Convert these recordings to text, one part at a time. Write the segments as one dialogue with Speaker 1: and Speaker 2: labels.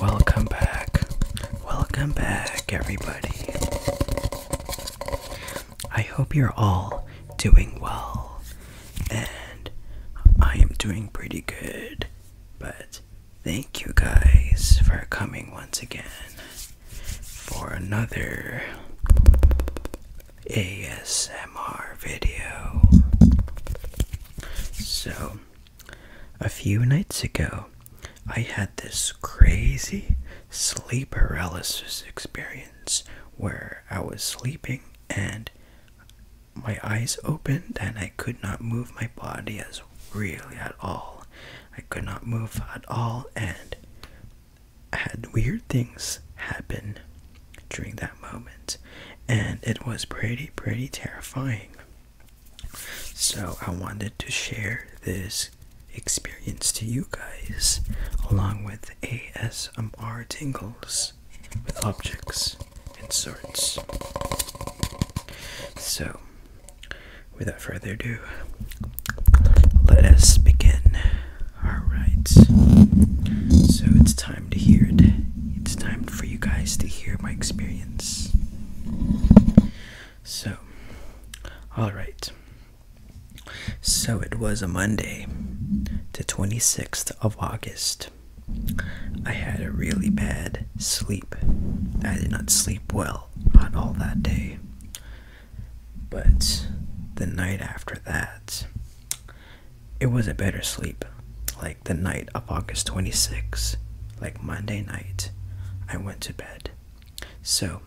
Speaker 1: Welcome back. Welcome back, everybody. I hope you're all doing well. And I am doing pretty good. But thank you guys for coming once again for another ASMR video. So, a few nights ago, I had this crazy sleep paralysis experience where I was sleeping and my eyes opened and I could not move my body as really at all. I could not move at all and I had weird things happen during that moment, and it was pretty, pretty terrifying. So, I wanted to share this experience to you guys along with ASMR tingles with objects and sorts. So, without further ado, let us begin. Alright, so it's time to hear it. It's time for you guys to hear my experience. So, alright. So it was a Monday, the 26th of August. I had a really bad sleep. I did not sleep well on all that day. But the night after that, it was a better sleep. Like the night of August 26, like Monday night, I went to bed. So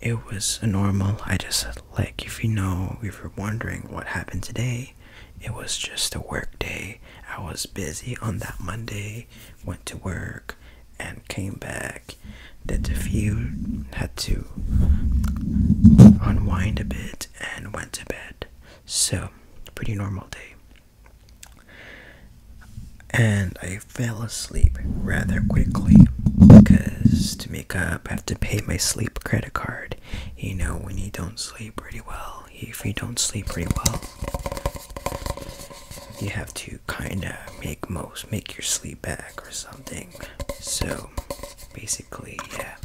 Speaker 1: it was normal. I just, like, if you know, if you're wondering what happened today, it was just a work day. I was busy on that Monday, went to work, and came back. Did a few, had to unwind a bit, and went to bed. So, pretty normal day. And I fell asleep rather quickly because to make up, I have to pay my sleep credit card. You know, when you don't sleep pretty well, if you don't sleep pretty well, you have to kind of make most, make your sleep back or something. So, basically, yeah,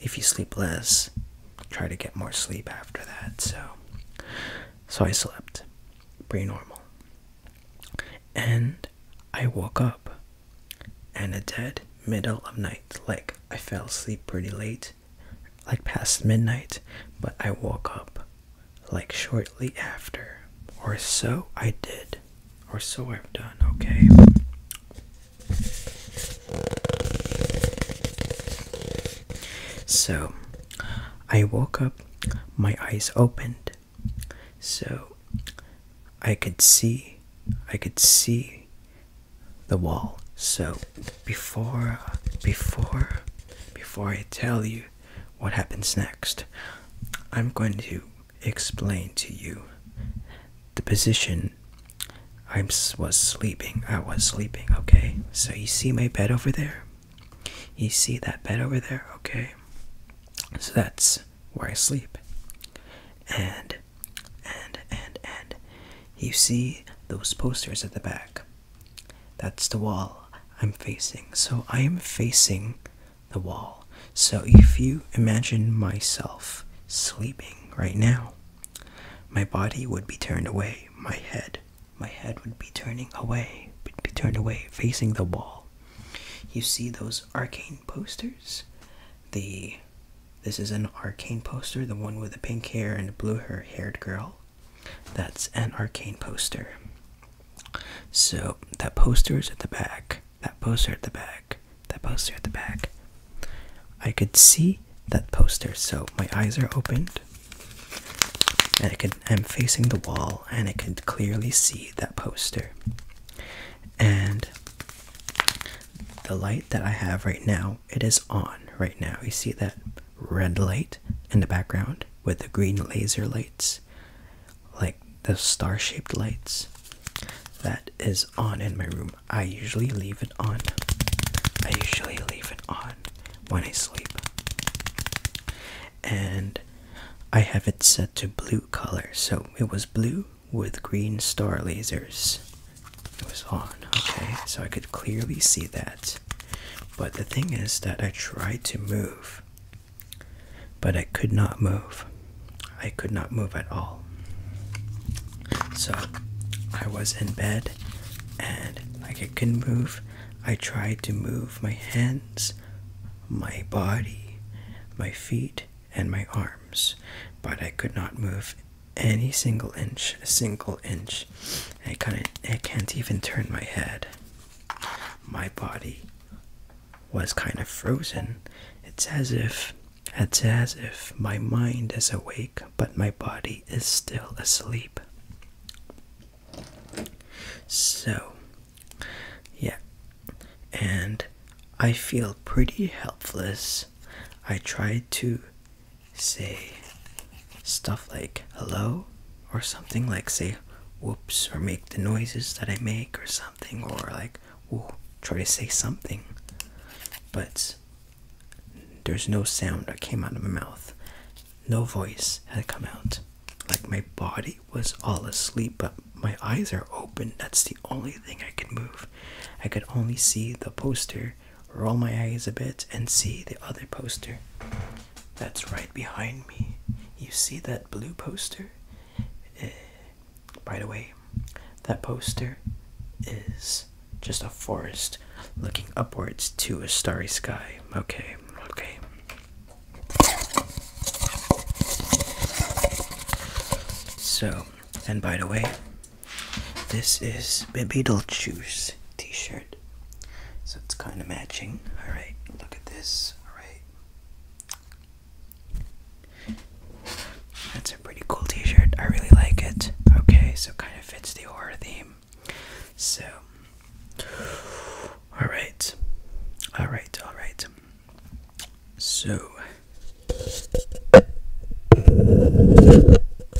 Speaker 1: if you sleep less, try to get more sleep after that. So, so I slept pretty normal, and I woke up and a dead middle of night. Like I fell asleep pretty late, like past midnight, but I woke up like shortly after, or so I did, or so I've done. Okay. So I woke up, my eyes opened, so I could see, I could see the wall. So before, before, before I tell you what happens next, I'm going to explain to you the position I was sleeping. I was sleeping, okay? So you see my bed over there? You see that bed over there, okay? So that's where I sleep. And, and, and, and, you see those posters at the back. That's the wall I'm facing. So I am facing the wall. So if you imagine myself sleeping right now, my body would be turned away, my head, my head would be turning away, would be turned away, facing the wall. You see those arcane posters? The this is an arcane poster, the one with the pink hair and the blue hair haired girl. That's an arcane poster. So that poster is at the back that poster at the back, that poster at the back. I could see that poster, so my eyes are opened, and I could I'm facing the wall, and I could clearly see that poster. And the light that I have right now, it is on right now. You see that red light in the background with the green laser lights like the star-shaped lights that is on in my room i usually leave it on i usually leave it on when i sleep and i have it set to blue color so it was blue with green star lasers it was on okay so i could clearly see that but the thing is that i tried to move but I could not move. I could not move at all. So I was in bed and like I couldn't move. I tried to move my hands, my body, my feet, and my arms, but I could not move any single inch, a single inch. I I can't even turn my head. My body was kind of frozen. It's as if it's as if my mind is awake but my body is still asleep. So, yeah. And I feel pretty helpless. I tried to say stuff like hello or something like say whoops or make the noises that I make or something or like will try to say something, but there's no sound that came out of my mouth. No voice had come out. Like my body was all asleep, but my eyes are open. That's the only thing I can move. I could only see the poster, roll my eyes a bit, and see the other poster. That's right behind me. You see that blue poster? Eh, by the way, that poster is just a forest looking upwards to a starry sky. Okay, okay. So, and by the way, this is Beetlejuice t shirt. So it's kind of matching. Alright, look at this. Alright. That's a pretty cool t-shirt. I really like it. Okay, so kind of fits the horror theme. So Alright. Alright, alright. So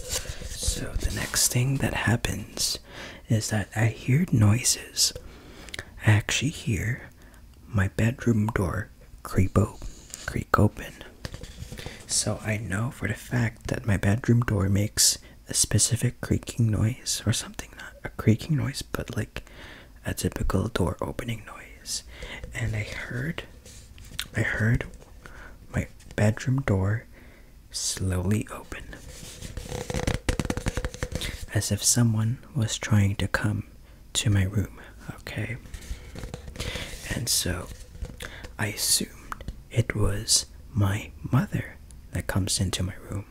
Speaker 1: So the next thing that happens is that I hear noises. I actually hear my bedroom door creep, op creak open. So I know for the fact that my bedroom door makes a specific creaking noise or something, not a creaking noise, but like a typical door opening noise. And I heard, I heard my bedroom door slowly open as if someone was trying to come to my room, okay? And so I assumed it was my mother that comes into my room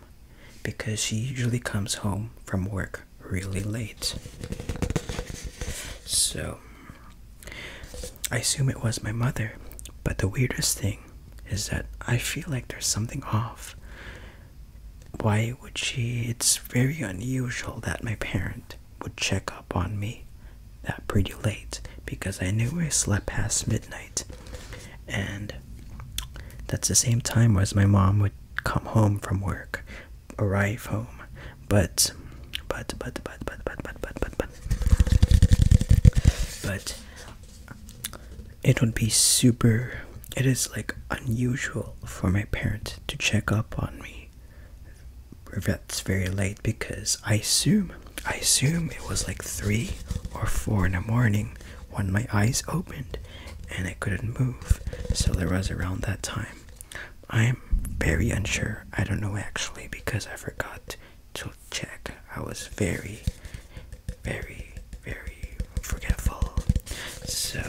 Speaker 1: because she usually comes home from work really late. So I assume it was my mother, but the weirdest thing is that I feel like there's something off why would she? It's very unusual that my parent would check up on me that pretty late because I knew I slept past midnight. And that's the same time as my mom would come home from work, arrive home. But, but, but, but, but, but, but, but, but, but, but, it would be super it is like unusual for my parents to check up on me But that's very late because I assume I assume it was like three or four in the morning when my eyes opened and I couldn't move. So there was around that time. I'm very unsure. I don't know actually because I forgot to check. I was very, very, very forgetful. So,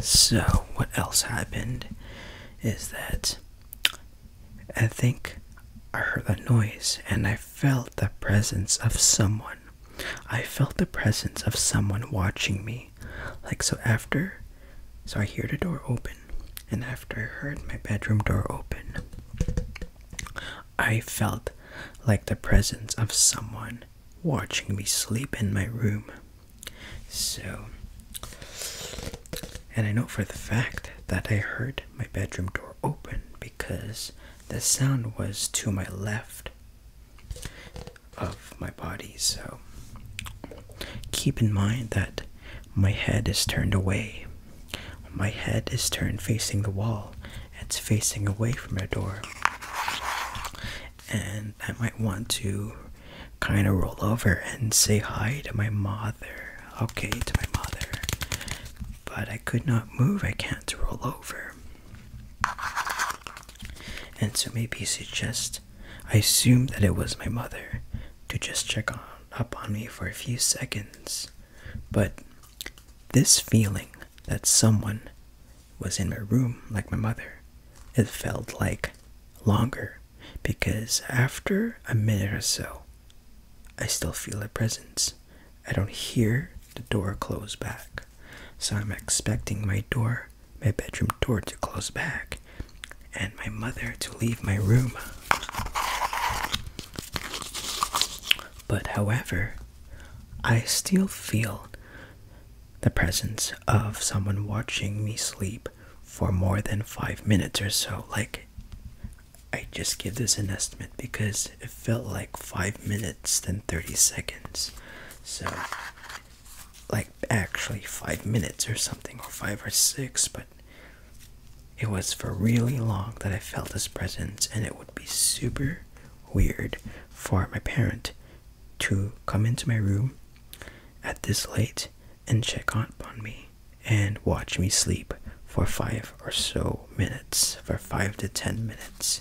Speaker 1: so what else happened is that I think I heard a noise and I felt the presence of someone. I felt the presence of someone watching me. Like, so after, so I hear the door open, and after I heard my bedroom door open, I felt like the presence of someone watching me sleep in my room. So, and I know for the fact that I heard my bedroom door open because the sound was to my left of my body. So, keep in mind that my head is turned away my head is turned facing the wall. It's facing away from your door. And I might want to kind of roll over and say hi to my mother. Okay, to my mother. But I could not move. I can't roll over. And so maybe suggest I assume that it was my mother to just check on up on me for a few seconds. But this feeling that someone was in my room, like my mother, it felt like longer because after a minute or so, I still feel a presence. I don't hear the door close back. So I'm expecting my door, my bedroom door to close back and my mother to leave my room. But however, I still feel the presence of someone watching me sleep for more than five minutes or so. Like, I just give this an estimate because it felt like five minutes than 30 seconds. So, like, actually, five minutes or something, or five or six, but it was for really long that I felt his presence, and it would be super weird for my parent to come into my room at this late and check on me and watch me sleep for five or so minutes, for five to ten minutes.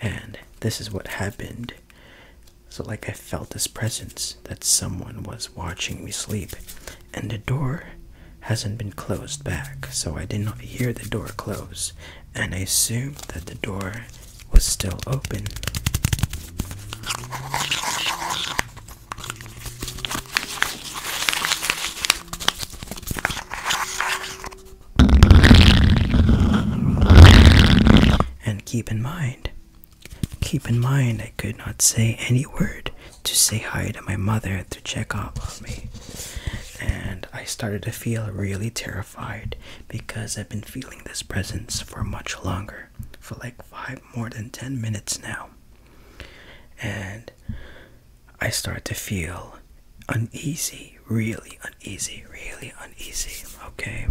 Speaker 1: And this is what happened. So, like, I felt his presence that someone was watching me sleep and the door hasn't been closed back, so I did not hear the door close, and I assumed that the door was still open. And keep in mind, keep in mind, I could not say any word to say hi to my mother to check up on me. And I started to feel really terrified because I've been feeling this presence for much longer, for like five more than 10 minutes now. And I start to feel uneasy, really uneasy, really uneasy. Okay.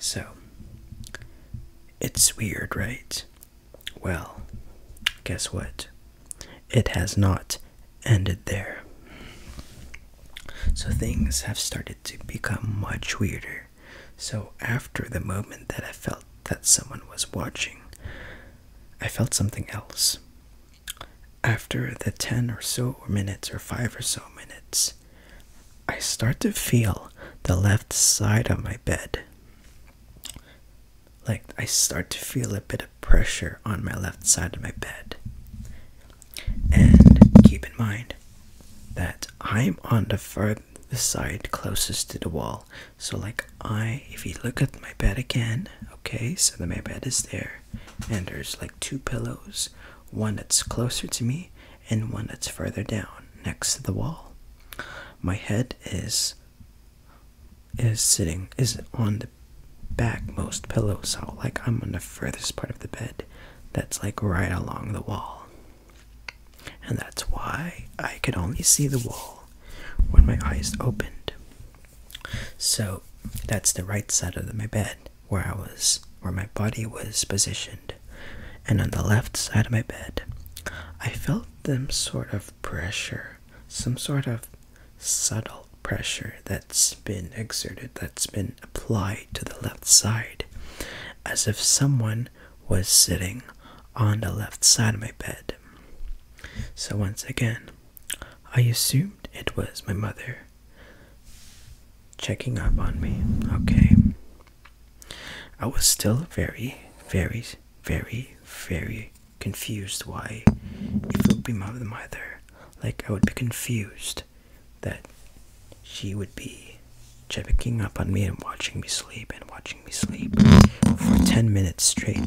Speaker 1: So, it's weird, right? Well, guess what? It has not ended there. So things have started to become much weirder. So after the moment that I felt that someone was watching, I felt something else. After the 10 or so minutes or 5 or so minutes, I start to feel the left side of my bed like I start to feel a bit of pressure on my left side of my bed. And keep in mind that I'm on the furthest side closest to the wall. So, like, I, if you look at my bed again, okay, so the my bed is there, and there's like two pillows one that's closer to me and one that's further down next to the wall. My head is is sitting is on the backmost pillow, so like I'm on the furthest part of the bed that's like right along the wall. And that's why I could only see the wall when my eyes opened. So that's the right side of my bed where I was where my body was positioned. And on the left side of my bed, I felt them sort of pressure, some sort of subtle pressure that's been exerted, that's been applied to the left side, as if someone was sitting on the left side of my bed. So, once again, I assumed it was my mother checking up on me, okay? I was still very, very very, very confused why if it would be my mother, like I would be confused that she would be checking up on me and watching me sleep and watching me sleep for 10 minutes straight.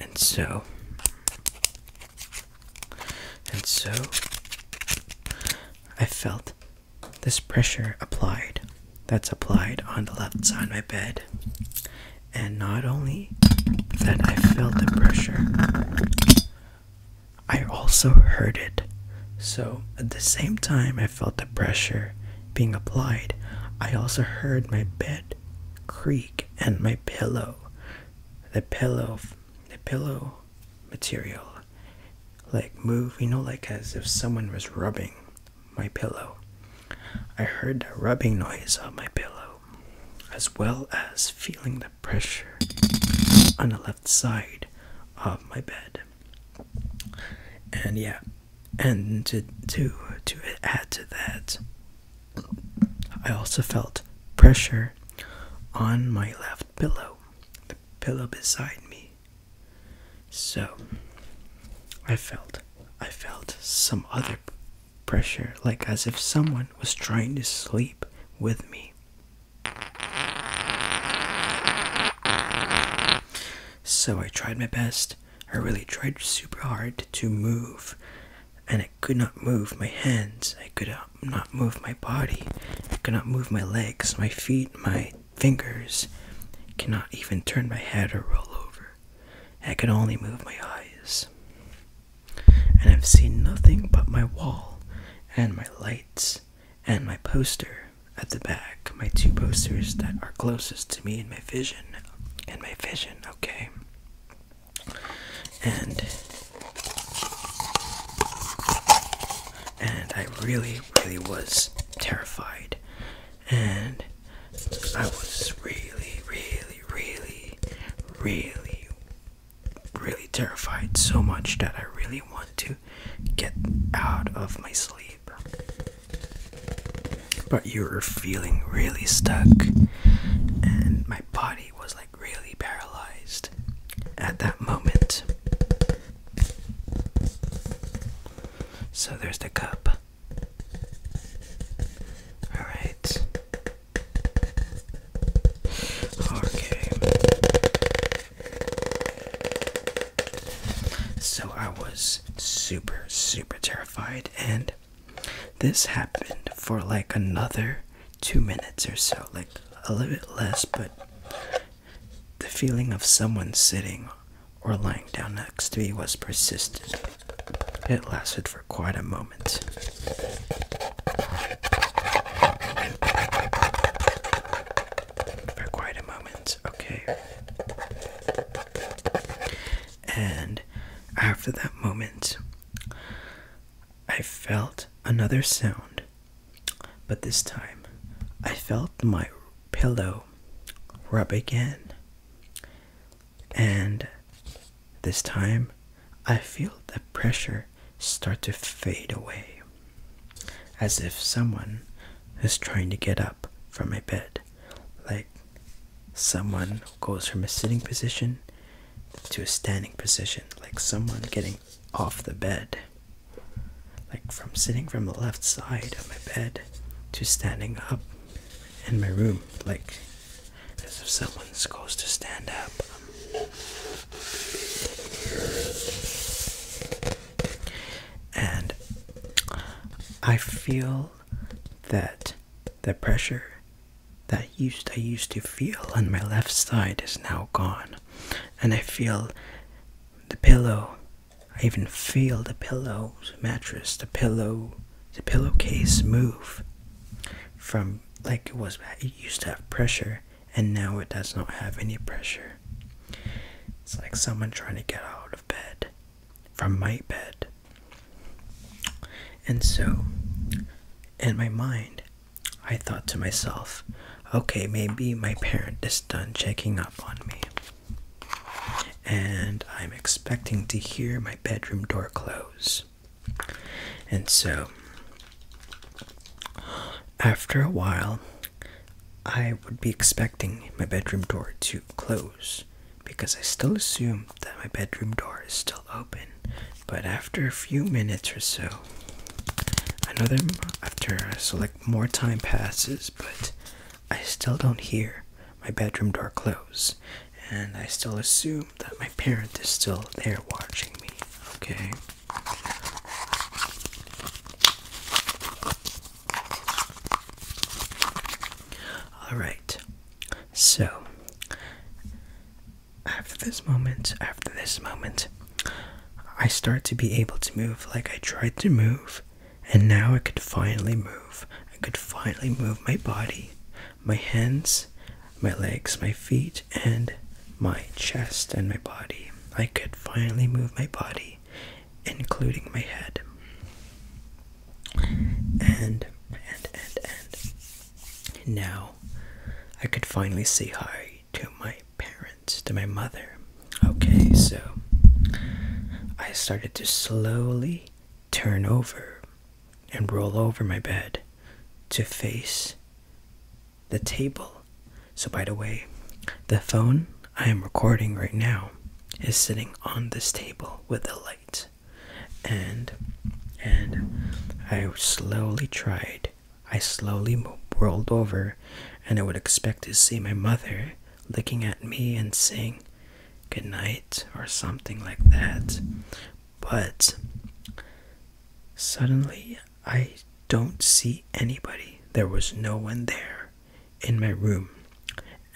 Speaker 1: And so, and so, I felt this pressure applied that's applied on the left side of my bed. And not only that I felt the pressure, I also heard it. So at the same time I felt the pressure being applied, I also heard my bed creak and my pillow. The pillow the pillow material like move, you know, like as if someone was rubbing my pillow. I heard that rubbing noise on my pillow, as well as feeling the pressure on the left side of my bed. And yeah, and to to to add to that, I also felt pressure on my left pillow, the pillow beside me. So I felt I felt some other pressure like as if someone was trying to sleep with me. So I tried my best. I really tried super hard to move and I could not move my hands. I could cannot not move my body. I cannot move my legs, my feet, my fingers. Cannot even turn my head or roll over. I can only move my eyes. And I've seen nothing but my wall and my lights and my poster at the back, my two posters that are closest to me in my vision. In my vision, okay? And and I really, really was terrified. And I was really, really, really, really, really terrified so much that I really want to get out of my sleep. But you were feeling really stuck, and my body was like really paralyzed at that moment. So there's the cup. Alright. Okay. So I was super, super terrified, and this happened for like another two minutes or so, like a little bit less, but the feeling of someone sitting or lying down next to me was persistent. It lasted for quite a moment. For quite a moment, okay. And after that moment, I felt another sound but this time, I felt my pillow rub again. And this time, I feel the pressure start to fade away. As if someone is trying to get up from my bed. Like someone goes from a sitting position to a standing position, like someone getting off the bed. Like from sitting from the left side of my bed to standing up in my room. Like, as if someone's supposed to stand up. And I feel that the pressure that used I used to feel on my left side is now gone, and I feel the pillow. I even feel the pillow's mattress, the pillow, the pillowcase move from like it was. It used to have pressure, and now it does not have any pressure. It's like someone trying to get out of bed from my bed. And so, in my mind, I thought to myself, okay, maybe my parent is done checking up on me. And I'm expecting to hear my bedroom door close. And so, after a while, I would be expecting my bedroom door to close because I still assumed that my bedroom door is still open but after a few minutes or so, another after I select more time passes, but I still don't hear my bedroom door close, and I still assume that my parent is still there watching me. Okay. All right. So after this moment, after this moment, I start to be able to move like I tried to move, and now I could finally move. I could finally move my body, my hands, my legs, my feet, and my chest and my body. I could finally move my body, including my head. And, and, and, and. Now I could finally say hi to my parents, to my mother. Okay, so I started to slowly turn over and roll over my bed to face the table. So, by the way, the phone I am recording right now is sitting on this table with the light. And and I slowly tried I slowly rolled over, and I would expect to see my mother looking at me and saying, Good night, or something like that. But suddenly, I don't see anybody. There was no one there in my room,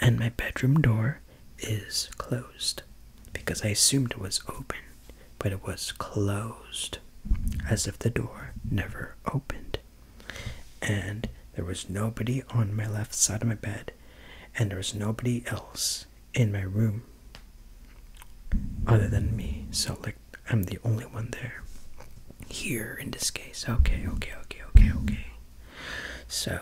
Speaker 1: and my bedroom door is closed because I assumed it was open, but it was closed, as if the door never opened. And there was nobody on my left side of my bed, and there was nobody else in my room other than me. So, like, I'm the only one there. Here in this case. Okay, okay, okay, okay, okay. So,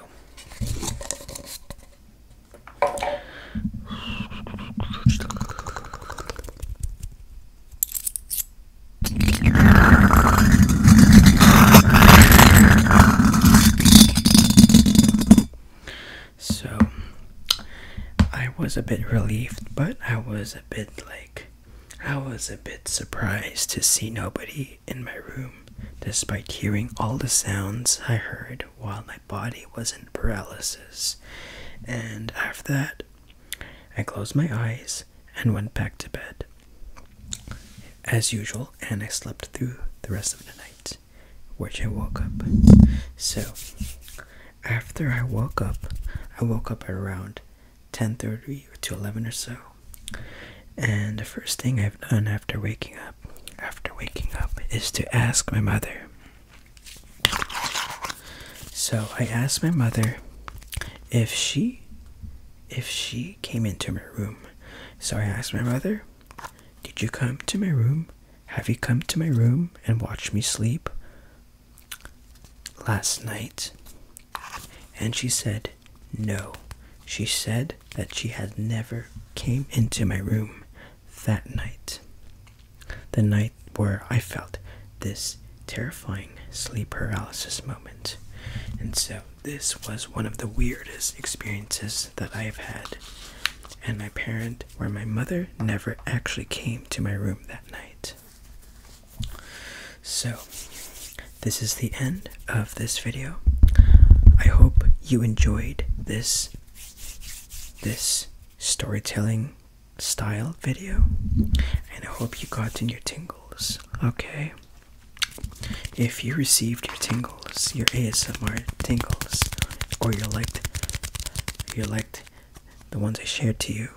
Speaker 1: so I was a bit relieved, but I was a bit like I was a bit surprised to see nobody in my room despite hearing all the sounds I heard while my body was in paralysis. And after that, I closed my eyes and went back to bed. As usual, and I slept through the rest of the night, which I woke up. So, after I woke up, I woke up at around 10:30 to 11 or so. And the first thing I've done after waking up, after waking up, is to ask my mother so I asked my mother if she if she came into my room. So I asked my mother, "Did you come to my room? Have you come to my room and watched me sleep last night?" And she said, "No." She said that she had never came into my room that night. The night where I felt this terrifying sleep paralysis moment. And so, this was one of the weirdest experiences that I have had. And my parent, where my mother never actually came to my room that night. So, this is the end of this video. I hope you enjoyed this this storytelling style video and I hope you got in your tingles, okay? If you received your tingles, your ASMR tingles, or you liked you liked the ones I shared to you,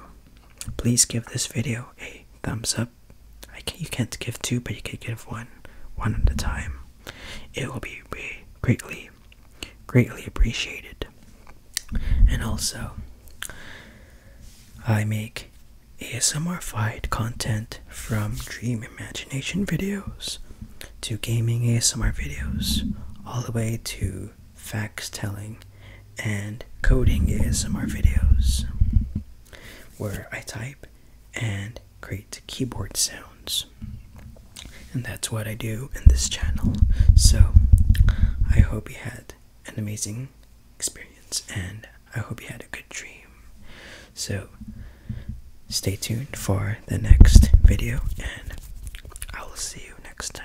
Speaker 1: please give this video a thumbs up. you can't give two, but you can give one, one at a time. It will be, be greatly greatly appreciated. And also, I make ASMR-fied content from dream imagination videos to gaming ASMR videos, all the way to facts telling and coding ASMR videos, where I type and Create keyboard sounds. And that's what I do in this channel. So I hope you had an amazing experience and I hope you had a good dream. So stay tuned for the next video and I will see you next time.